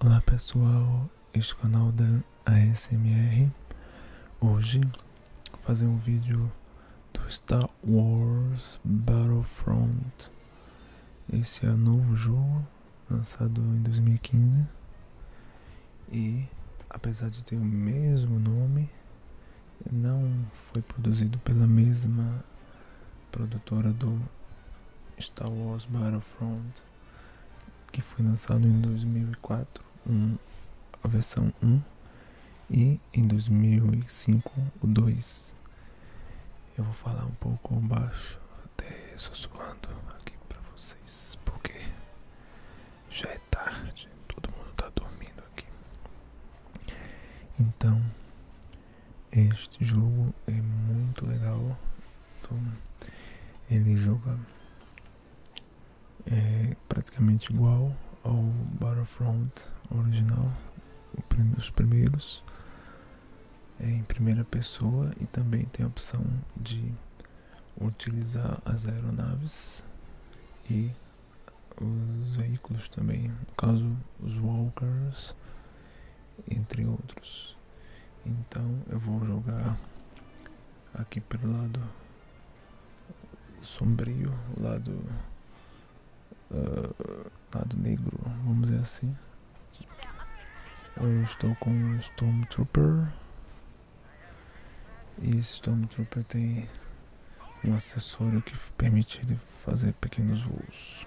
Olá pessoal, este é o canal da ASMR Hoje vou fazer um vídeo do Star Wars Battlefront Esse é o novo jogo, lançado em 2015 E apesar de ter o mesmo nome Não foi produzido pela mesma produtora do Star Wars Battlefront, que foi lançado em 2004, um, a versão 1, e em 2005 o 2. Eu vou falar um pouco baixo, até sussurrando aqui para vocês, porque já é tarde, todo mundo está dormindo aqui. Então, este jogo é muito legal. Então, ele joga é, praticamente igual ao Battlefront original, os primeiros, é em primeira pessoa e também tem a opção de utilizar as aeronaves e os veículos também, no caso os walkers entre outros. Então eu vou jogar aqui pelo lado sombrio, lado ah, lado negro, vamos dizer assim. Eu estou com o Stormtrooper. E esse Stormtrooper tem um acessório que permite ele fazer pequenos voos.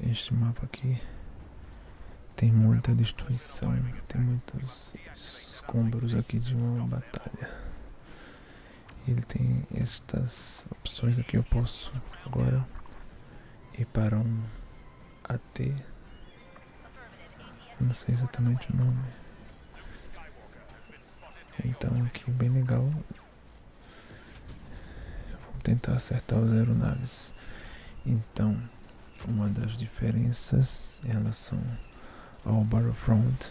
este mapa aqui tem muita destruição, tem muitos escombros aqui de uma batalha. Ele tem estas opções aqui, eu posso agora ir para um AT, não sei exatamente o nome. Então aqui bem legal, vou tentar acertar o zero naves. Então, uma das diferenças em relação ao Battlefront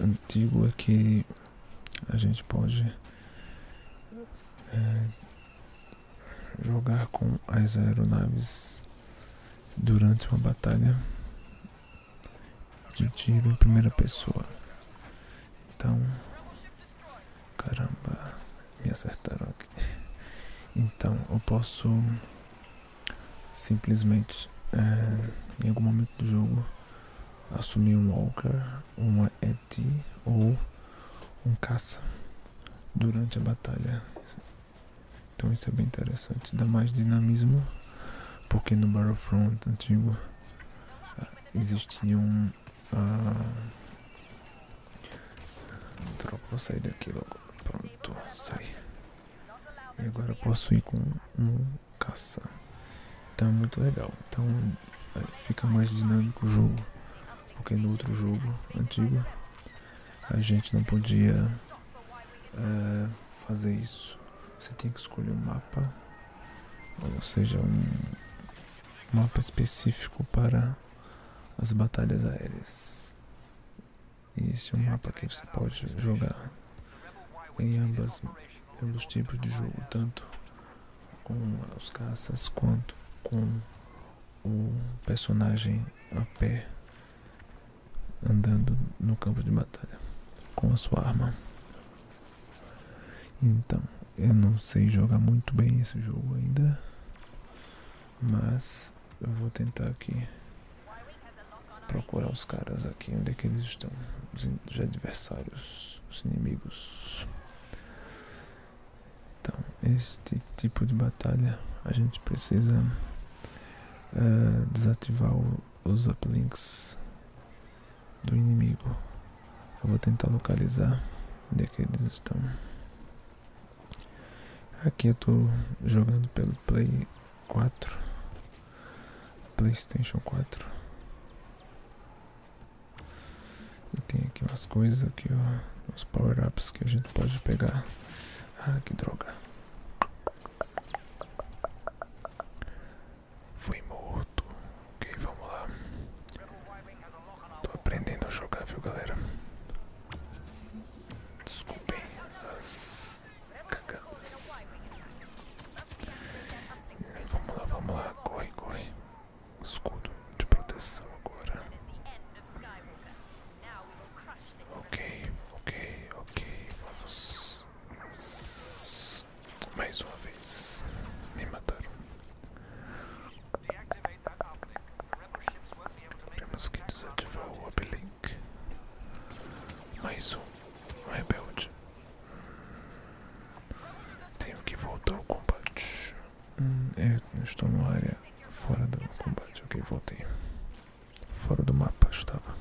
antigo é que a gente pode é, jogar com as aeronaves durante uma batalha de tiro em primeira pessoa. Então, Caramba, me acertaram aqui. Então eu posso simplesmente é, em algum momento do jogo assumir um walker, uma ET ou um caça durante a batalha. Então isso é bem interessante, dá mais dinamismo, porque no Battlefront antigo ah, existiam ah. Troco, vou sair daqui logo. Pronto, sai. E agora posso ir com um caça. Então é muito legal. Então é, fica mais dinâmico o jogo. Porque no outro jogo antigo a gente não podia é, fazer isso. Você tem que escolher um mapa, ou seja, um, mapa específico para as batalhas aéreas. E esse é um mapa que você pode jogar em ambos os tipos de jogo, tanto com as caças quanto com o personagem a pé andando no campo de batalha com a sua arma. Então. Eu não sei jogar muito bem esse jogo ainda, mas eu vou tentar aqui procurar os caras aqui, onde é que eles estão, os, adversários, os inimigos. Então, este tipo de batalha a gente precisa eh, desativar os uplinks do inimigo vou tentar localizar onde é que eles estão. Aqui eu tô jogando pelo Play 4. Playstation 4. E tem aqui umas coisas aqui, ó. Os power-ups que a gente pode pegar. Ah, que droga. Fui morto. Ok, vamos lá. Estou aprendendo a jogar, viu, galera? Desculpem as cagadas. Vamos lá, vamos lá. Corre, corre. Escudo de proteção agora. Ok, ok, ok. Vamos. Mais uma vez. Me mataram. Temos que desativar o uplink. Mais um, um rebelde. Tenho que voltar ao combate. Hum, estou numa área fora do combate. Ok, voltei. Fora do mapa, estava.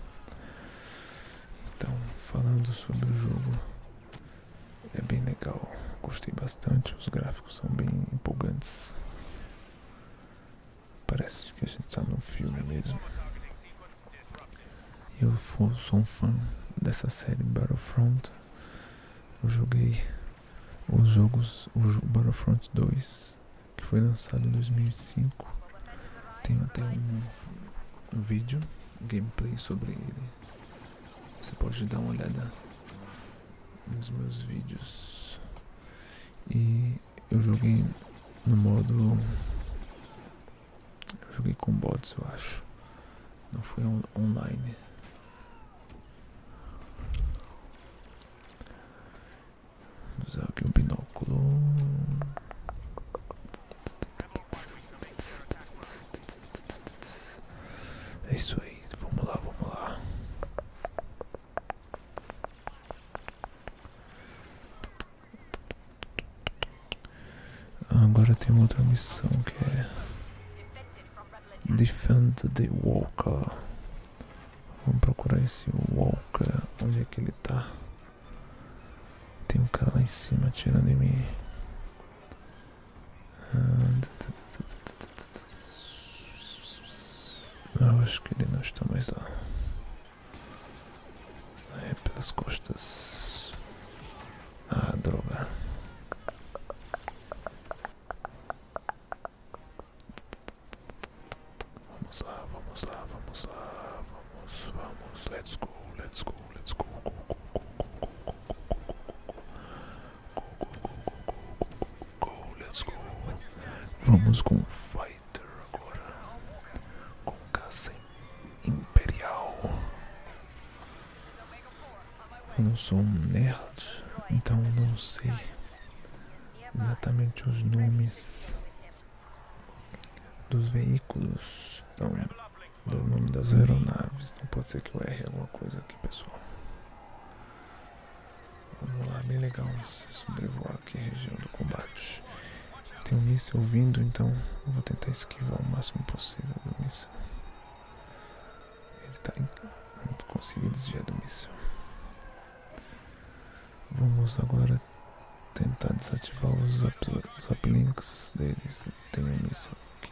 Então, falando sobre o jogo. É bem legal, gostei bastante, os gráficos são bem empolgantes. Parece que a gente está num filme mesmo. Eu sou um fã dessa série Battlefront. Eu joguei os jogos, o Battlefront 2, que foi lançado em 2005. Tenho até um, um vídeo, gameplay sobre ele você pode dar uma olhada nos meus vídeos. E eu joguei no modo. Eu joguei com bots, eu acho. Não foi online. usar aqui um binóculo. É isso aí, vamos lá, vamos lá. Agora tem outra missão que é Defend o Walker. Vamos procurar esse Walker. Onde é que ele tá? Tem um cara lá em cima atirando em mim acho que ele não está mais lá. É pelas costas. Ah, droga. Vamos lá, vamos lá, vamos lá, vamos, vamos, let's go, let's go, let's go. Go, go, go, go, go, go, go, let's go. Vamos com Fighter agora. Com caça imperial. Eu não sou um nerd, então não sei exatamente os nomes dos veículos. Então, do nome das uhum. aeronaves. Não pode ser que eu erre alguma coisa aqui, pessoal. Vamos lá, bem legal sobrevoar aqui a região do combate. Tem um míssil vindo, então vou tentar esquivar o máximo possível do míssil. Ele está em... Não consegui desviar do míssil. Vamos agora tentar desativar os, up, os uplinks deles. Tem um míssil aqui.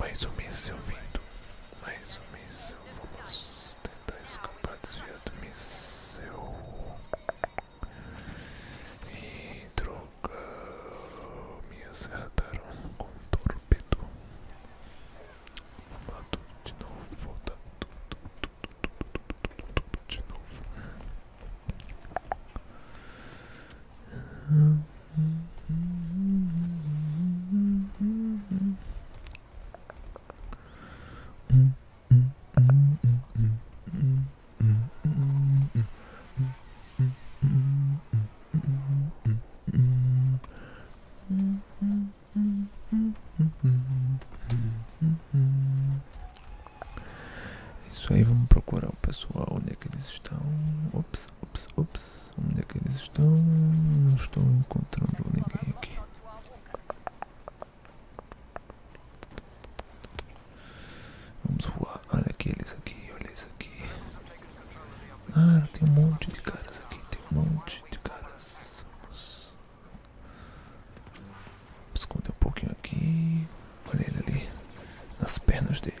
Mais um míssil vindo. Mais um míssil. Vamos tentar escapar desviar do míssil. E droga. Me acertaram com um torpedo. Vamos lá tudo de novo. Volta tudo, tudo, tudo, tudo, tudo de novo. É isso aí, vamos procurar o pessoal né que eles estão. Ops. Ops, ops, Onde é que eles estão? Não estou encontrando ninguém aqui. Vamos voar. Olha aqueles aqui, olha isso aqui. Ah, tem um monte de caras aqui, tem um monte de caras. Vamos esconder um pouquinho aqui. Olha ele ali, nas pernas dele.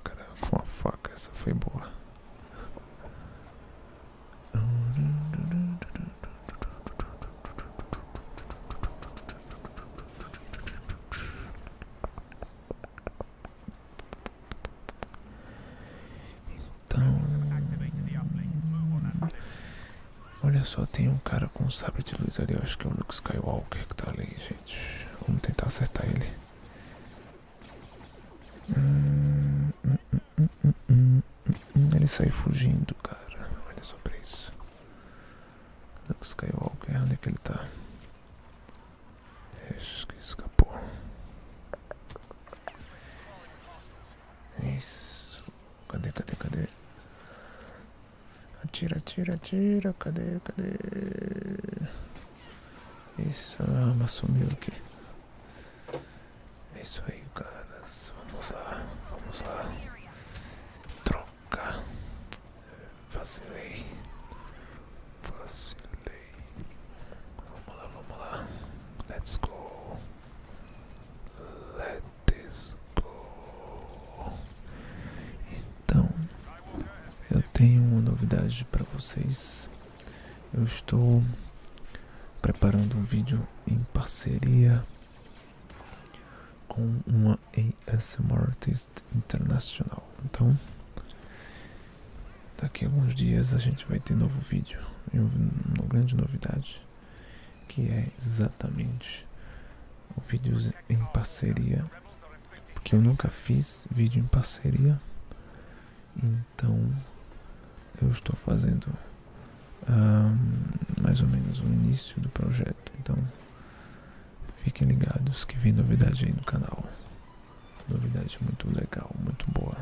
O cara com a faca, essa foi boa. Então, olha só, tem um cara com um sabre de luz ali. acho que é o Luke Skywalker que tá ali, gente. Vamos tentar acertar ele. Ele saiu fugindo, cara. Olha só pra isso. o Onde é que ele tá? Acho escapou. Isso. Cadê, cadê, cadê? Atira, atira, atira. Cadê, cadê? Isso, a sumiu aqui. É isso aí, caras. Vamos lá, vamos lá. Troca. Vacilei. Vacilei. Vamos lá, vamos lá. Let's go. Let's go. Então, eu tenho uma novidade para vocês. Eu estou preparando um vídeo em parceria com uma ASMR artist internacional. Então, daqui a alguns dias a gente vai ter novo vídeo e uma grande novidade que é exatamente o vídeo em parceria porque eu nunca fiz vídeo em parceria, então eu estou fazendo mais ou menos o início do projeto. Então fiquem ligados que vem novidade aí no canal, novidade muito legal, muito boa.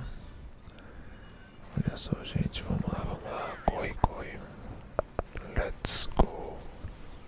Olha só, gente, vamos lá, vamos lá, corre, corre, let's go.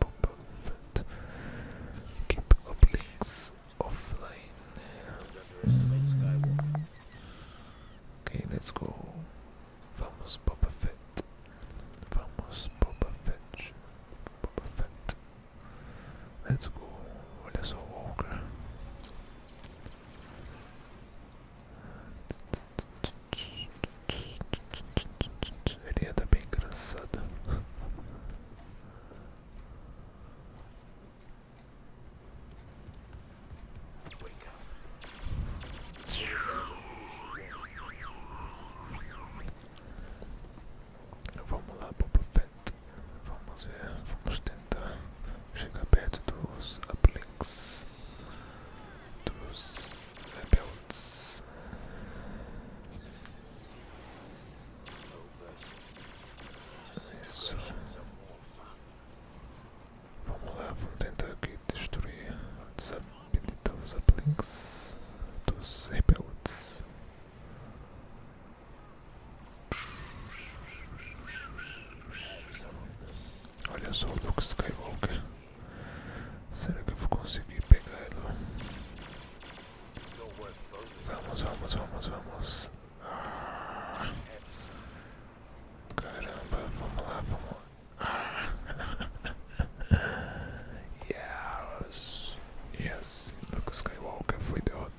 Boba Fett. Keep obliques offline. Mm. Okay, let's go. Vamos Boba Fett. Vamos Boba Fett. Boba Fett. Let's go. Let's walk. Ele ia dar bem engraçado. Vamos lá, Boba Fett. Vamos ver, vamos tentar chegar perto dos Uplinks dos rebeldes. Isso. Vamos lá, vamos tentar aqui destruir, desabilitar os uplinks dos rebeldes. Olha só o Luke Skywalker. Será que eu vou conseguir pegar ela? Vamos, vamos, vamos, vamos. Ah. Caramba, vamos lá, vamos yes, yes. Luke Skywalker foi derrotado.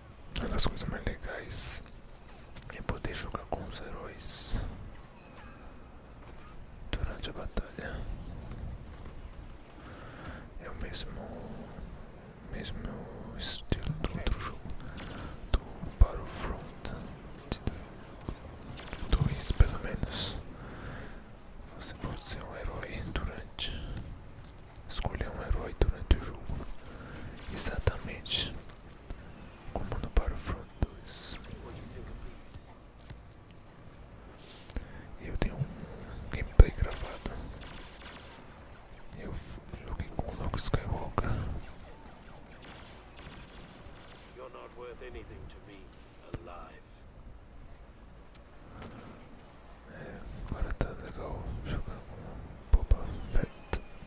Uma das coisas mais legais é poder jogar com os heróis durante a batalha. É o mesmo, mesmo estilo do outro jogo, do Battlefront 2 pelo menos. Você pode ser um herói durante. Escolher um herói durante o jogo. Exatamente Comando para o Front 2. Eu tenho um gameplay gravado. Eu joguei com o Luke Skywalker. You're not worth anything to be alive. É, agora tá legal jogando com Boba Fett.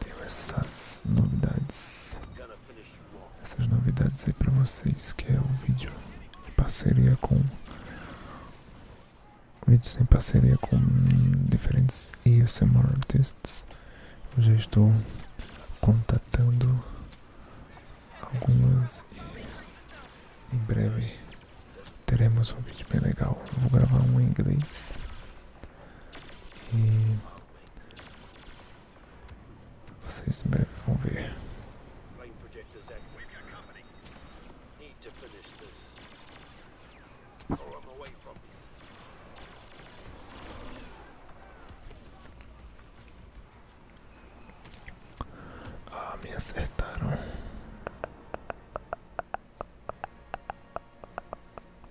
Tenho essas novidades. Essas novidades aí pra vocês, que é o vídeo em parceria com vídeos em parceria com diferentes ASMR artists. Eu já estou contatando algumas e em breve teremos um vídeo bem legal. vou gravar um em inglês e vocês em breve vão ver. Ah, me acertaram.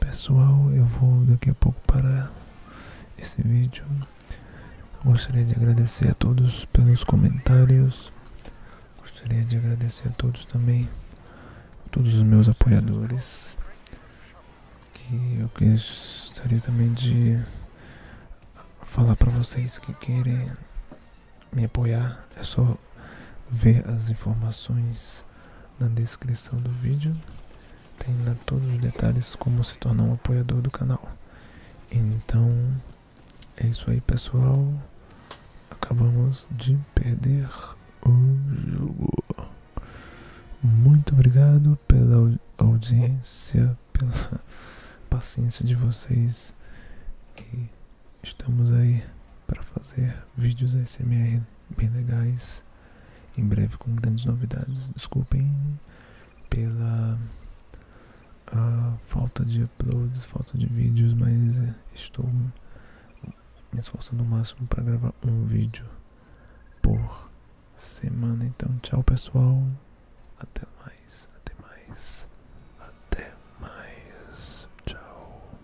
Pessoal, eu vou daqui a pouco para esse vídeo. Gostaria de agradecer a todos pelos comentários. Gostaria de agradecer a todos também, todos os meus apoiadores. Que eu gostaria também de falar para vocês que querem me apoiar. É só ver as informações na descrição do vídeo. Tem lá todos os detalhes como se tornar um apoiador do canal. Então é isso aí pessoal. Acabamos de perder o jogo. Muito obrigado pela audiência, pela paciência de vocês. E estamos aí para fazer vídeos ASMR bem legais em breve com grandes novidades. Desculpem pela ah, falta de uploads, falta de vídeos, mas eh, estou me esforçando o máximo para gravar um vídeo por semana. Então, tchau pessoal, até mais, até mais. até mais, tchau.